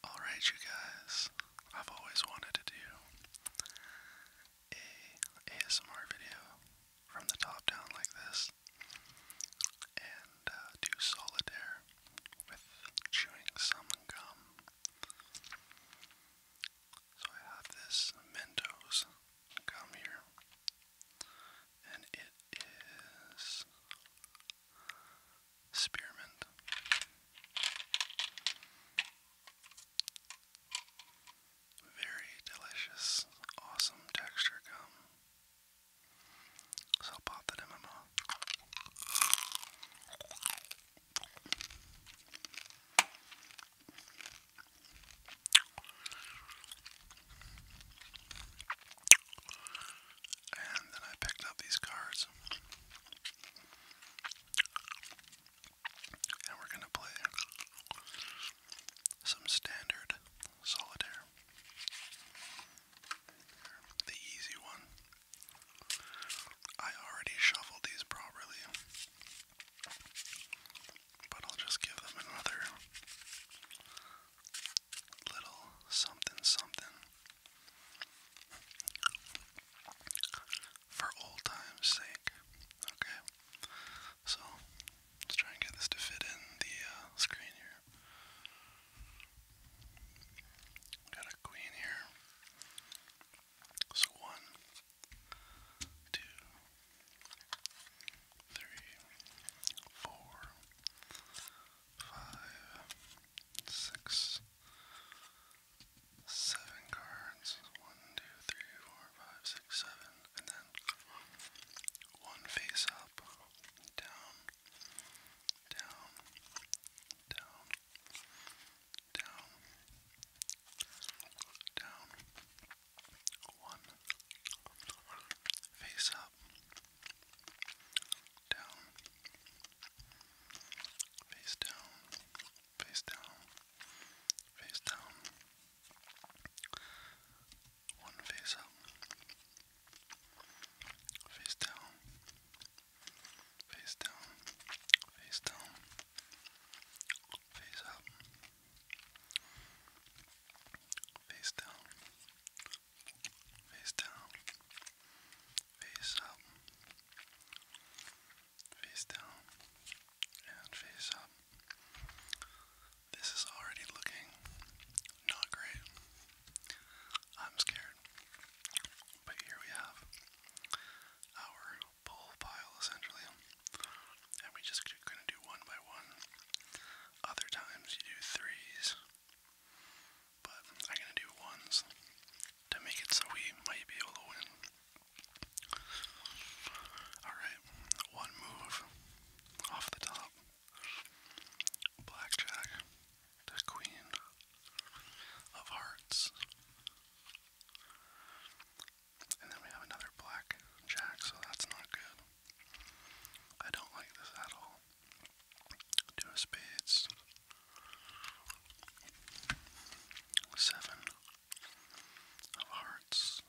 Alright, you guys, I've always wanted to do a ASMR video from the top down like this and uh, do solitaire with chewing gum. So I have this Mentos gum here, and it is spearmint. Very delicious, awesome texture gum. So I'll pop that in my mouth. And then I picked up these cards. And we're going to play some standard solitaire. The easy one. I already shuffled these properly, but I'll just give them another little something something for old time's sake. Okay, so let's try and get this to fit in the uh, screen here. Got a queen here. So one, two, three, four, five, six, seven cards. One, two, three, four, five, six, seven, and then one face up, down, down, down, down, down, one face up down, face down, face down, face down, one face up, face down, face down, face down, face up. Face down, face down, face up, face down, and face up. This is already looking not great. I'm scared. But here we have our bull pile essentially. And we just gonna do one by one. Other times you do threes. But I'm gonna do ones to make it so we might be able to win. Alright, one move off the top. Blackjack to Queen of Hearts. And then we have another black jack, so that's not good. I don't like this at all. Two of spades. Seven of hearts.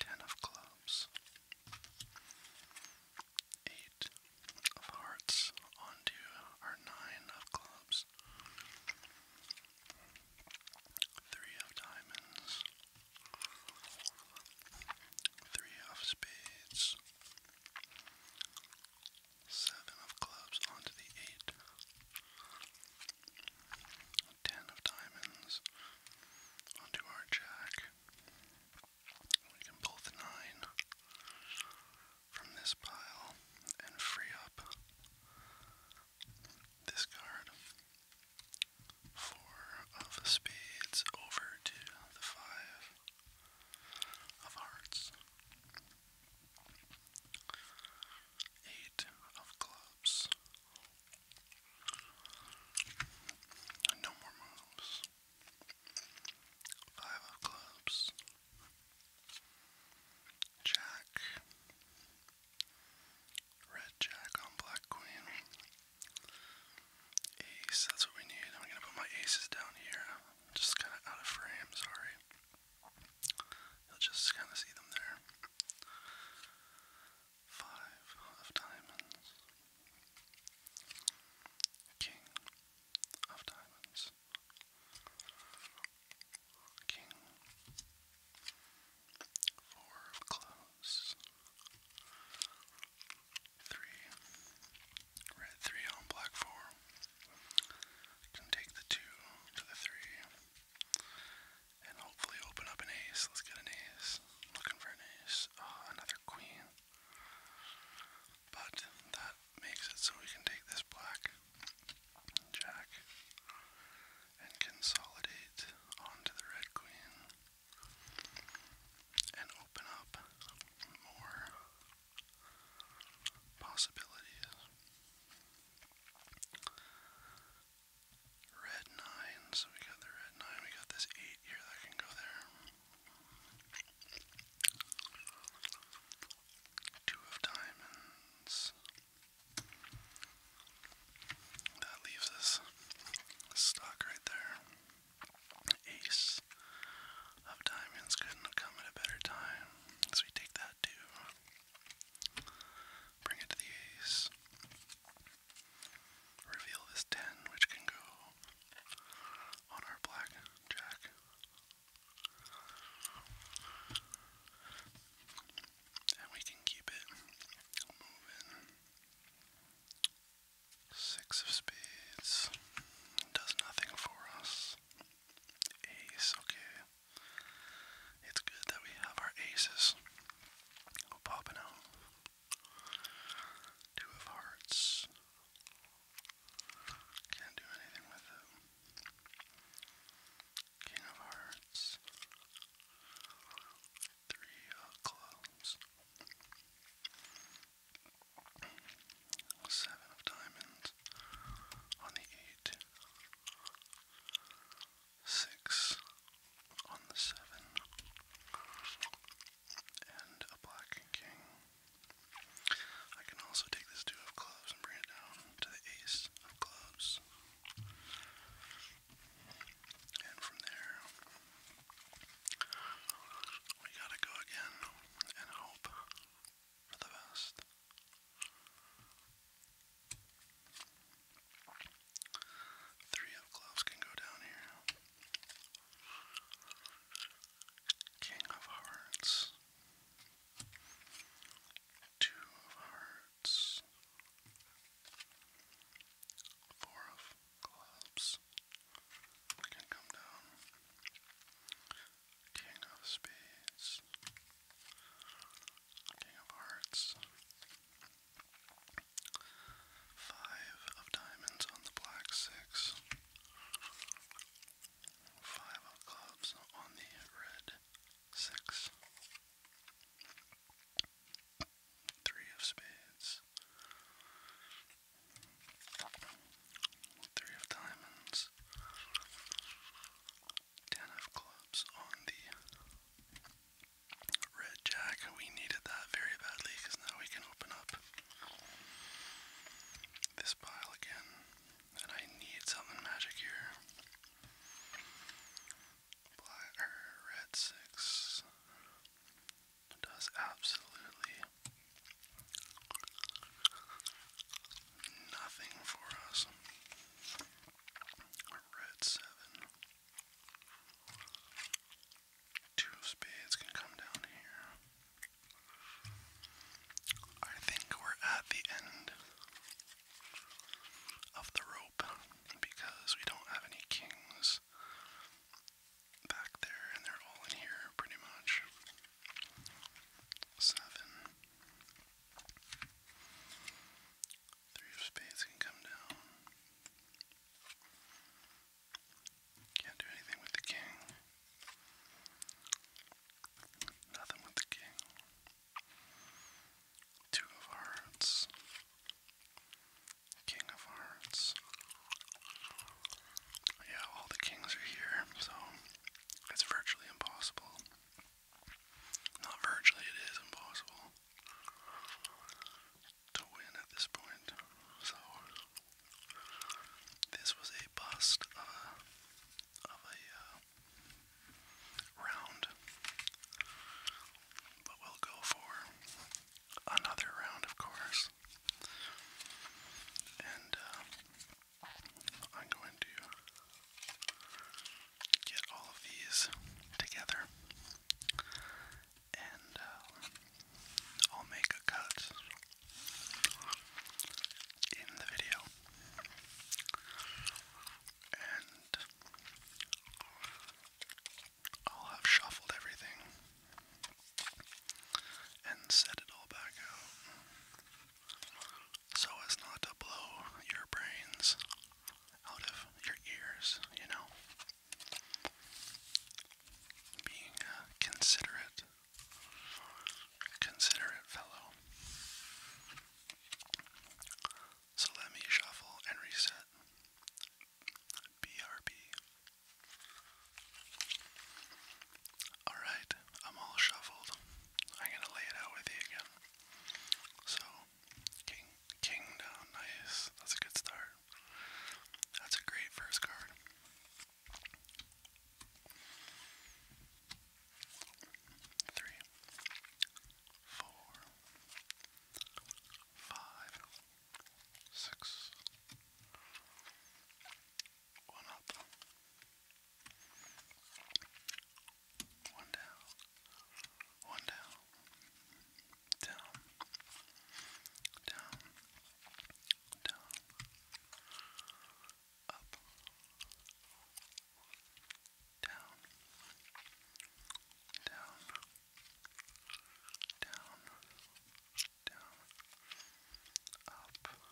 Ten of clubs. Eight of hearts onto our nine of clubs. Three of diamonds. Three of spades. Seven of clubs onto the eight. Ten of diamonds onto our jack. We can pull the nine from this pile and free up this card. Four of spades over to the five of hearts. Eight of clubs. No more moves. Five of clubs. Jack. Red Jack on Black Queen. Ace, that's what we need. I'm gonna put my aces down here. just kind of out of frame, sorry. You'll just kind of see them there. Five of diamonds. King of diamonds. King Four of close. Three. Red three on black four. Can take the two to the three. And hopefully open up an ace. Let's get an ace. looking for an ace. Ah, another queen. But that makes it so we can take this black jack and consolidate onto the red queen and open up more possibilities. Red 9, so we got the red 9, we got this 8 here that can go there. Two of diamonds. That leaves us stuck right there. Ace of diamonds couldn't have come at a better time. So we take that two. Bring it to the ace. Reveal this 10, which can go on our black And we can keep it moving. Six of spades does nothing for us. Ace, okay. It's good that we have our aces. Oh, popping out. Two of hearts. Can't do anything with it. King of hearts three uh, clubs. Seven of diamonds on the eight. Six on the seven. And a black king. I can also take this two of clubs and bring it down to the ace of clubs. And from there, we gotta go again and hope for the best. Three of clubs can go down here. King of hearts. Two of hearts hearts, four of clubs, we can come down, king of spades, king of hearts, five of diamonds on the black six, five of clubs on the red six. Three of spades. Three of diamonds. Ten of clubs on the red jack. We needed that very badly because now we can open up this pile again. And I need something magic here. Black or red six does absolutely nothing for us. Red seven. Two of spades can come down here. I think we're at the end of the rope because we don't have any kings back there and they're all in here pretty much. Seven. Three of spades can come down. Can't do anything with the king. Nothing with the king. Two of Hearts, King of Hearts. Yeah, all the kings are here, so it's virtually impossible. Not virtually, it is impossible to win at this point. So this was a bust of of a uh, round. But we'll go for another round, of course. And uh, I'm going to get all of these together. And uh, I'll make a cut in the video. And I'll have shuffled everything and set it all back out so as not to blow your brains out of your ears, you know? Being uh, considerate, considerate fellow. So let me shuffle and reset. BRB. Alright, I'm all shuffled. I'm gonna lay it out with you again. So, king, king down, nice. That's a good start. That's a great first card. Three, four, five, six, one up, one down, one down, down, down, down, up, down, down, down, down, up, down, down, down, up,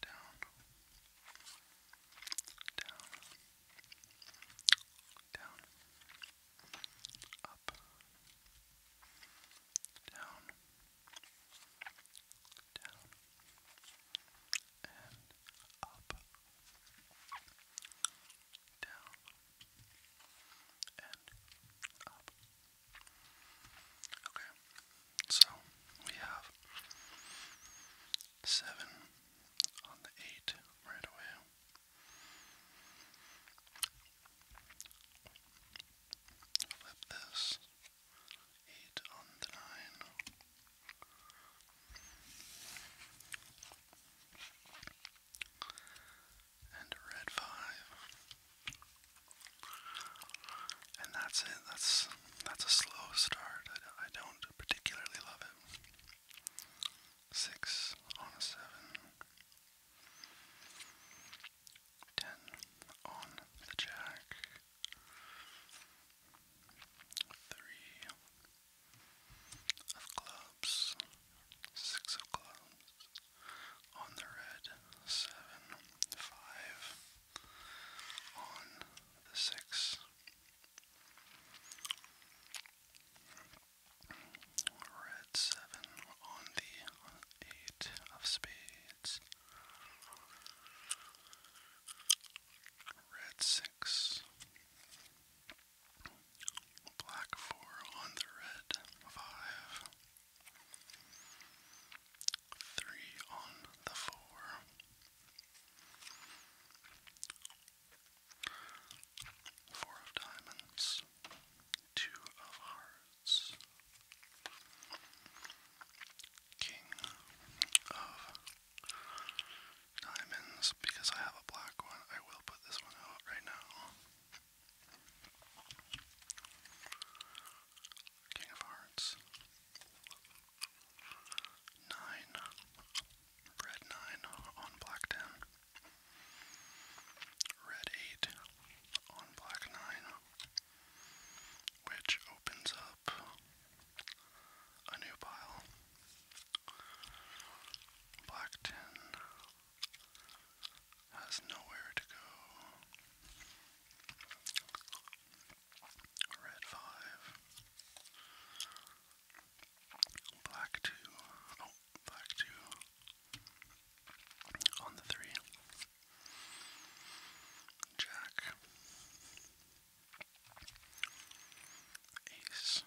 down, down, and up, down, and up. Okay, so we have seven on the eight right away. Flip this. Eight on the nine. And a red five. And that's it. That's that's a slow start. I, don't particularly love it. Six on a seven. on the jack. Three of clubs, six of clubs. On the red, seven, five. On the six. Red seven on the eight of spades red six, black four on the red five, three on the four, four of diamonds, two of hearts. King of diamonds because I have a black one. I will put this one out right now. King of Hearts. Nine. Red nine on black ten. Red eight on black nine. Which opens up a new pile. Black tin has nowhere to go. Red five. Black two. Oh, black two. On the three. Jack. Ace.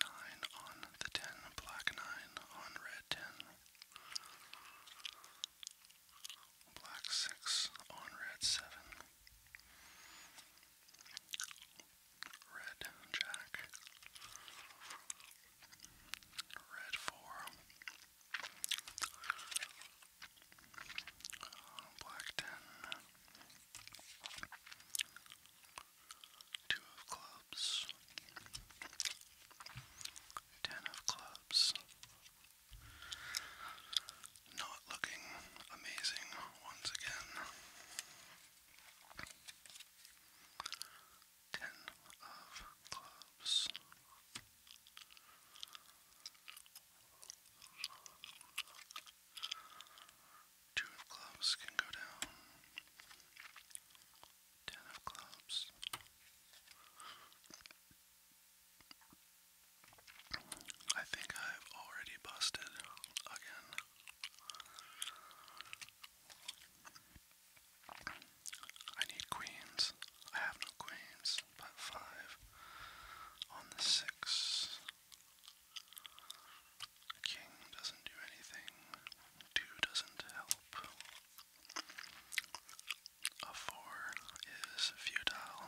Nine on the ten, black nine on red ten. Black six on red seven. Red jack. Red four. Blackton, two of clubs, ten of clubs. Not looking amazing once again. Ten of clubs. Two of clubs can go down. Ten of clubs. I think I've already busted again. I need queens. I have no queens. About five on the six. The king doesn't do anything. Two doesn't help. A four is futile.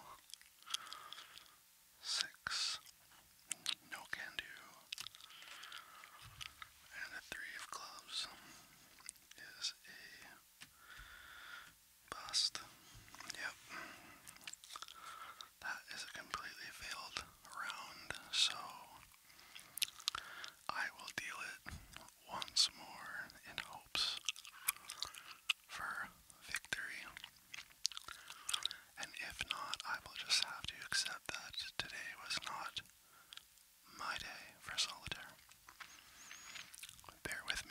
Six, no can do. And a three of clubs is a Bust. Yep. That is a completely failed round, so I will deal it once more in hopes for victory. And if not, I will just have to accept that today was not my day for solitaire. Bear with me.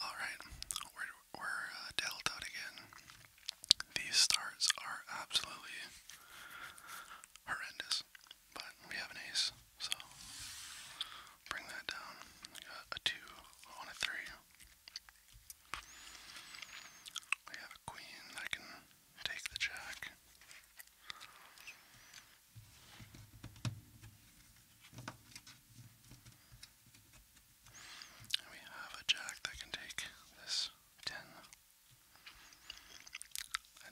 Alright, we're, uh, dealt out again. These starts are absolutely horrendous, but we have an ace, so bring that down. got a 2 on a 3. We have a queen that can take the jack. And we have a jack that can take this 10. And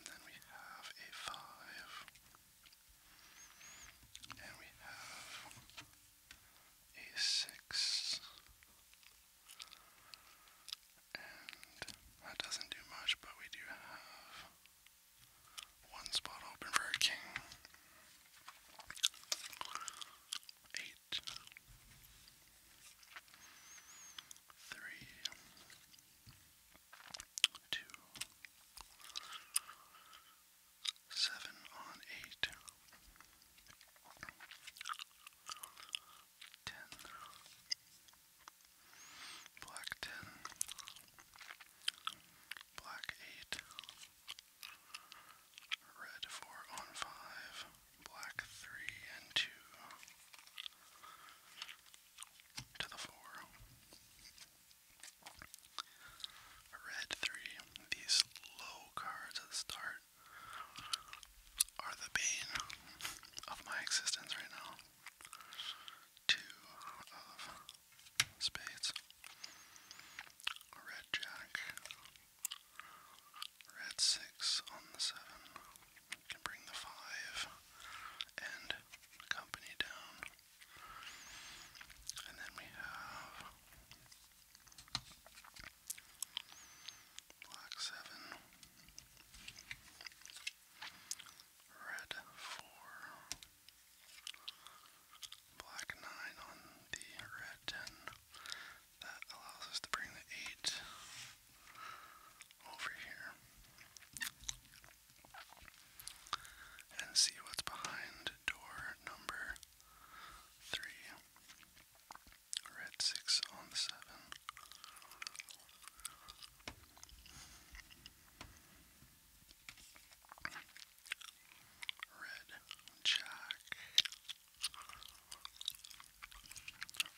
then we have a 5. And we have a 6. And that doesn't do much, but we do have one spot open for a king. Eight. Three. Two. Seven on eight. Ten. Black ten black 8, red 4 on 5, black 3 and 2 to the 4. Red 3, these low cards at the start are the bane of my existence right now. Two of spades. Red Jack. Red 6 on the 7. can bring the 5 and company down. And then we have Black 7. Red 4. Black 9 on the red 10. That allows us to bring the 8 over here and see what's behind door number 3. Red 6 on the 7. Red Jack.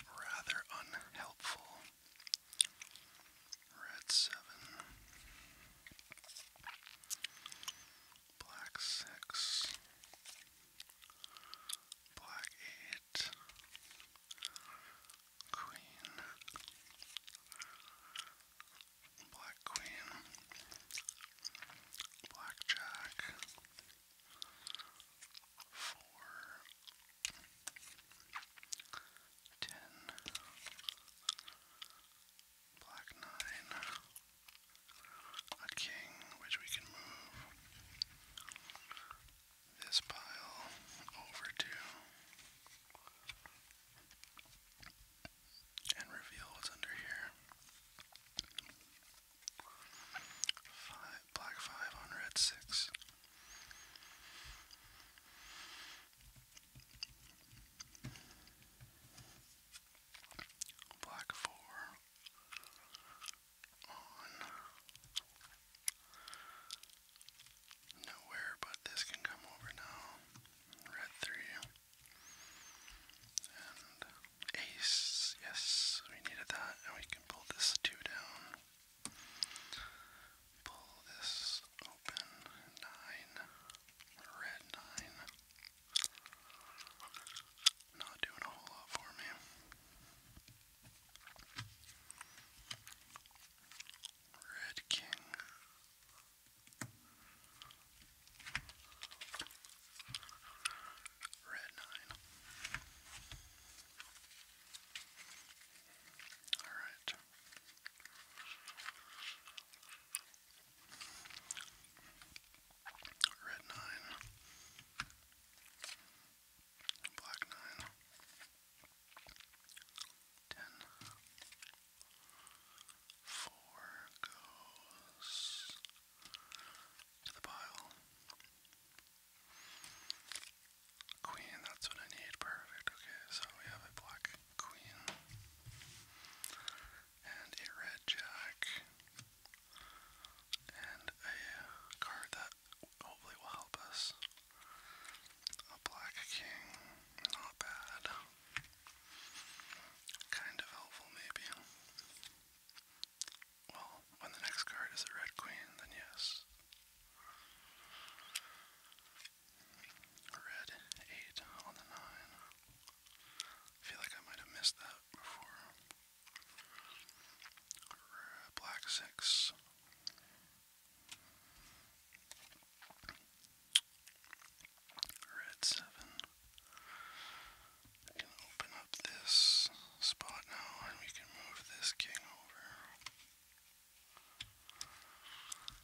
Rather unhelpful. Red seven. Black six. Black eight. Queen. Black Queen, Blackjack, four, ten, black nine, a king, which we can move this pile over to and reveal what's under here. Five, black five on red six. Black four on nowhere, but this can come over now. Red three ace, yes, we needed that, and we can pull this two down. Pull this open, nine, red nine. Not doing a whole lot for me. Red king. Red nine. All right. Red nine. Black nine. Ten. Four goes to the pile. Queen, that's what I need. Perfect. Okay, so we have a black queen and a red jack and a card that hopefully will help us. A black king, not bad. Kind of helpful, maybe. Well, when the next card is the Red Queen, then yes. Red 8 on the 9. I feel like I might have missed that before. Black 6. Red 7. I can open up this spot now and we can move this king over.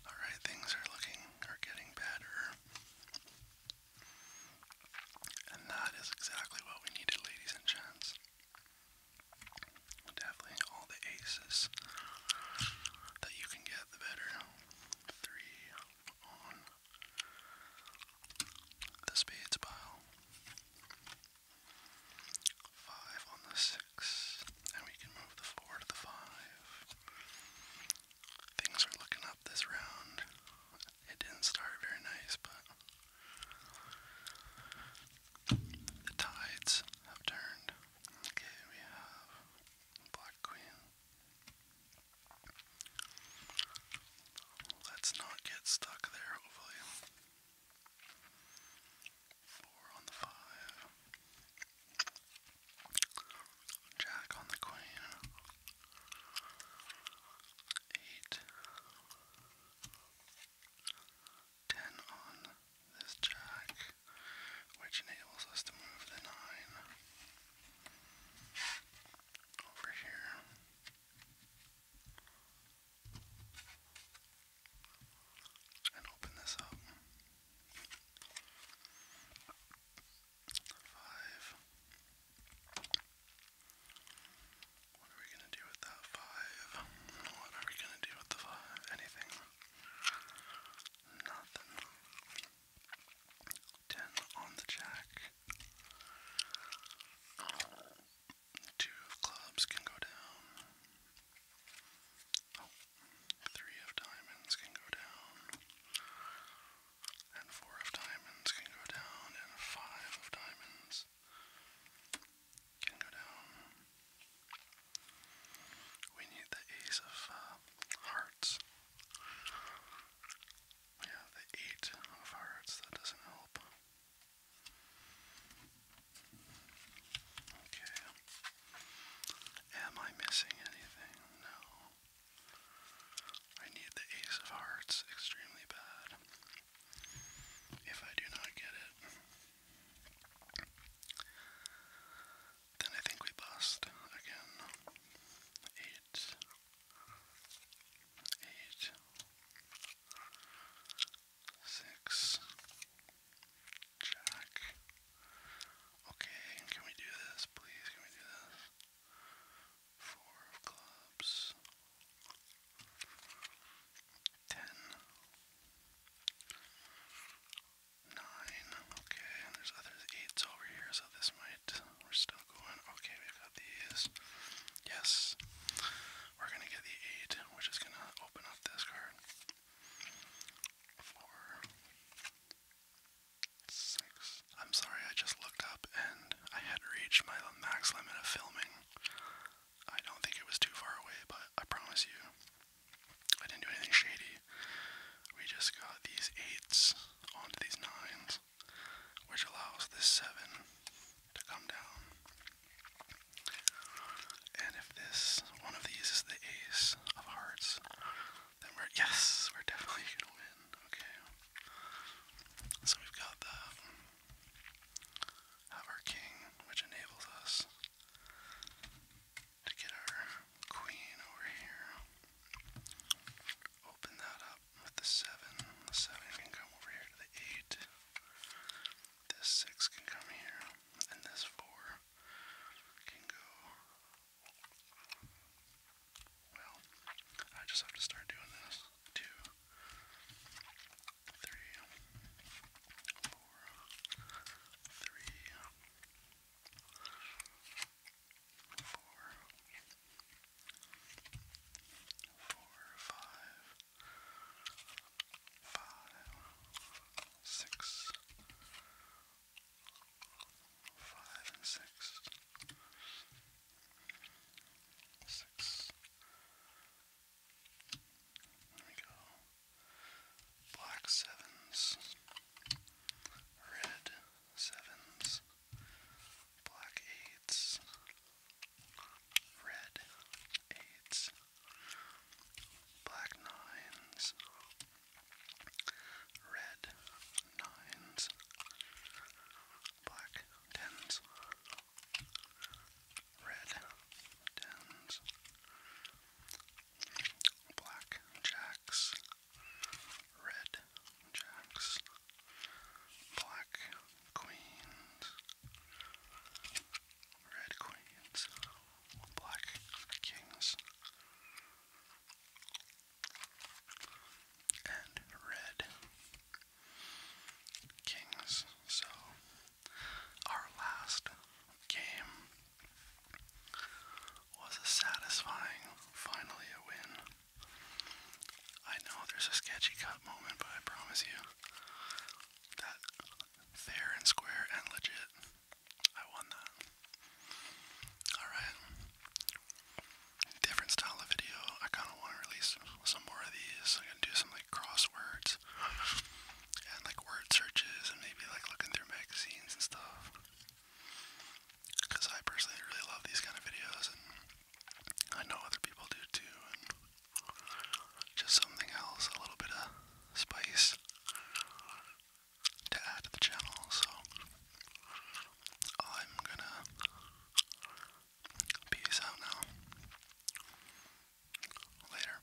Alright, things are looking, are getting better. And that is exactly what we needed, ladies and gents. Definitely all the aces that you can get, the better three on the spades pile, five on the six, and we can move the four to the five. Things are looking up this round. It didn't start very nice, but the tides have turned. Okay, we have Black Queen. Let's not get stuck there, hopefully. Four on the five. Jack on the Queen. Eight. Ten on this jack, which enables us to move the 9 over here. And open this up. Five. What are we gonna do with that five? What are we gonna do with the five? Anything. Nothing. Ten on the jack. Two of clubs can go down. Oh, three of diamonds can go down. And four of diamonds can go down. And five of diamonds can go down. We need the ace of uh, hearts. We have the eight of hearts, that doesn't help. Okay. Am I missing anything? No. I need the ace of hearts extremely bad. If I do not get it, then I think we bust again. Eight. Jack. Okay, can we do this, please? Can we do this? Four of clubs. Ten nine. Okay, and there's other eights over here, so this might. We're still going. Okay, we got these. Yes, we're gonna get the eight, which is gonna open up this card. Four, six. I'm sorry, I just looked up and I had reached my max limit of filming. I don't think it was too far away, but I promise you, I didn't do anything shady. We just got these eights onto these nines, which allows this seven to come down. And if this one of these is the ace of hearts, then we're yes, we're definitely gonna win. Okay. So we've got the have our king, which enables us to get our queen over here. Open that up with the seven. The seven can come over here to the eight. This six can come here, and this four can go. Well, I just have to start doing this. Two, three, four, three, four, four, five, five, six, five and six, six. There we go black sevens, red sevens, black eights, red eights, black nines, red nines, black tens, red tens black jacks, red jacks, black queens, red queens, black kings, and red kings. So, our last game was a satisfying, finally a win. I know there's a sketchy cut moment, but I promise you that fair and square and legit, I won that. Alright. Different style of video. I kind of want to release some more of these. I'm going to do some like crosswords and like word searches and maybe like looking through magazines and stuff. Because I personally really love these kind of videos, and I know other people do too. And just something else, a little bit of spice to add to the channel. So I'm gonna peace out now. Later.